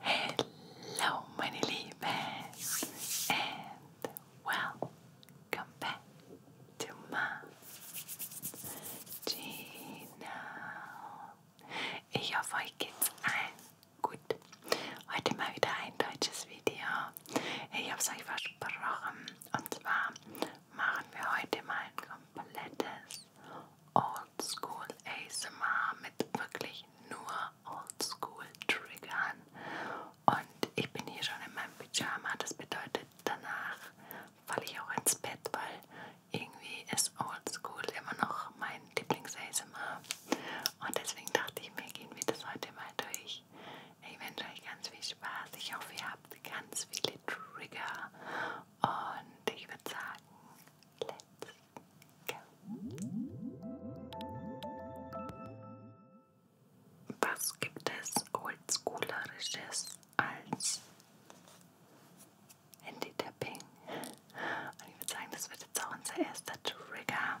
Hello, meine Lieben, and welcome back to my channel. Ich hoffe, euch geht's allen gut. Heute mal wieder ein deutsches Video. Ich habe es euch versprochen. Und zwar machen wir heute mal ein komplettes Oldschool ASMR mit wirklich nur oldschool triggern. Und ich bin hier schon in meinem Pyjama. Das bedeutet, danach falle ich auch ins Bett, weil irgendwie ist oldschool immer noch mein Lieblings-ASMR. Und deswegen dachte ich mir, gehen wir das heute mal durch. Ich wünsche euch ganz viel Spaß. Ich hoffe, ihr habt ganz viele Trigger. Und ich würde sagen, Let's go. Was gibt es oldschoolerisches als Handy-Tapping? Und ich würde sagen, das wird jetzt auch unser erster Trigger.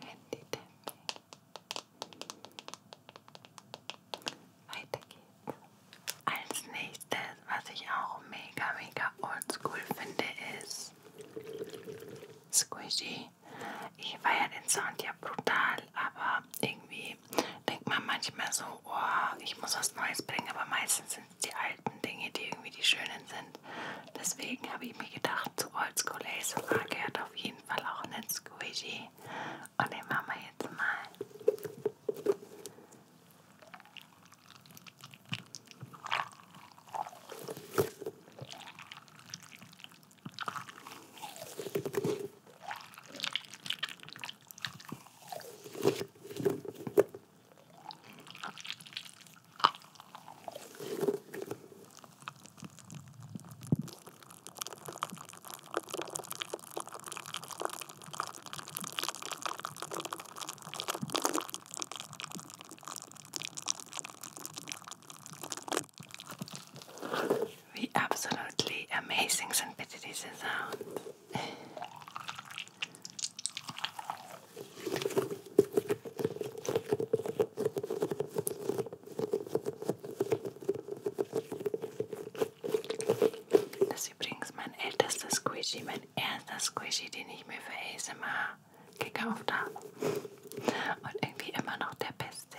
Handy Tapping. Weiter geht's. Als nächstes, was ich auch mega, mega oldschool finde, ist Squishy. Ich feiere den Sound ja brutal, aber irgendwie irgendwie denkt man manchmal so, oh, ich muss was Neues bringen, aber meistens sind es die alten Dinge, die irgendwie die schönen sind. Deswegen habe ich mir gedacht, zu Oldschool ASMR gehört auf jeden Fall auch ein Squishy. Und den machen wir jetzt mal. We absolutely amazing St. Peter's sound. Das ist übrigens mein ältester Squishy, mein erster Squishy, den ich mir für ASMR gekauft habe. Und irgendwie immer noch der beste.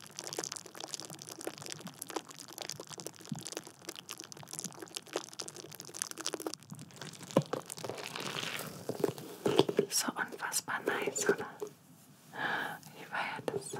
So unfassbar nice, oder? Wie feiert das so?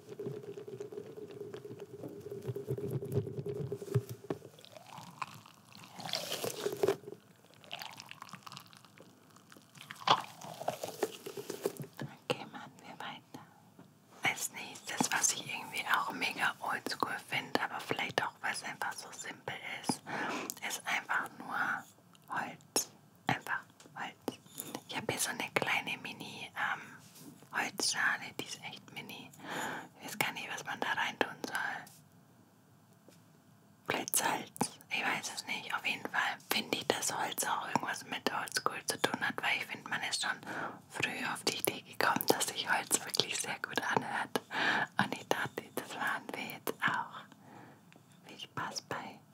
Okay, machen wir weiter. Als nächstes, was ich irgendwie auch mega oldschool finde, aber vielleicht auch, weil es einfach so simpel ist, ist einfach nur Holz. Einfach Holz. Ich habe hier so eine kleine Mini-Holzschale, ähm, die ist echt mini. Ich weiß gar nicht, was man da rein tun soll. Vielleicht Salz. Ich weiß es nicht. Auf jeden Fall finde ich, dass Holz auch irgendwas mit Oldschool zu tun hat, weil ich finde, man ist schon früh auf die Idee gekommen, dass sich Holz wirklich sehr gut anhört. Und ich dachte, das war ein Witz auch. Viel Spaß bei.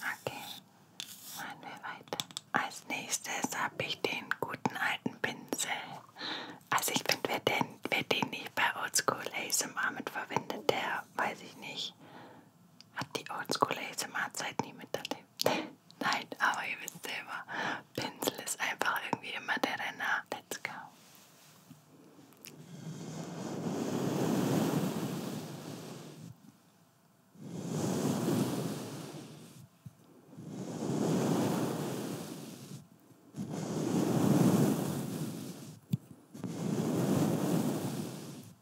Okay, machen wir weiter. Als nächstes habe ich den guten alten Pinsel. Also ich finde, wer den, wer den nicht bei Oldschool ASMR mit verwendet, der weiß ich nicht hat die oldschool ASMR-Zeit nie miterlebt. Nein, aber ihr wisst selber, Pinsel ist einfach irgendwie immer der Renner. Let's go.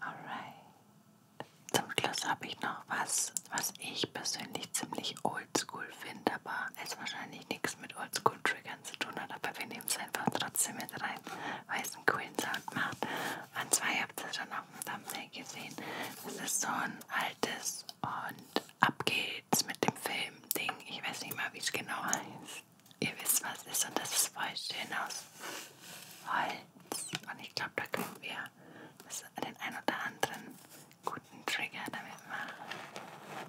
Alright. Zum Schluss habe ich noch was, was ich persönlich ziemlich oldschool finde, aber es wahrscheinlich nichts mit oldschool-Triggern zu tun hat, aber wir nehmen es einfach trotzdem mit rein, weil diesen coolen Sound macht. Und zwar, ihr habt es schon auf dem Thumbnail gesehen, es ist so ein altes und ab geht's mit dem Film-Ding. Ich weiß nicht mal, wie es genau heißt. Ihr wisst, was es ist und das ist voll schön aus Holz. Und ich glaube, da können wir den ein oder anderen guten Trigger damit machen.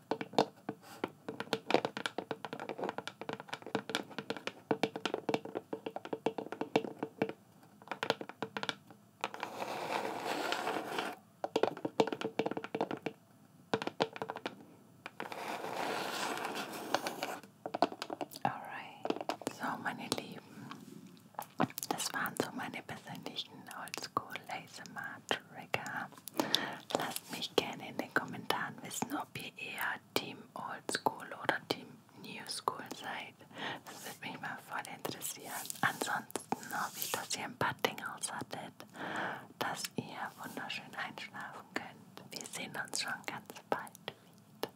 Alright, so meine Lieben, das waren so meine persönlichen Oldschool Laser Trigger. Lasst mich mich gerne in den Kommentaren wissen, ob ihr eher Team Oldschool oder Team New School seid. Das würde mich mal voll interessieren. Ansonsten hoffe ich, dass ihr ein paar Dinge aushattet, dass ihr wunderschön einschlafen könnt. Wir sehen uns schon ganz bald wieder.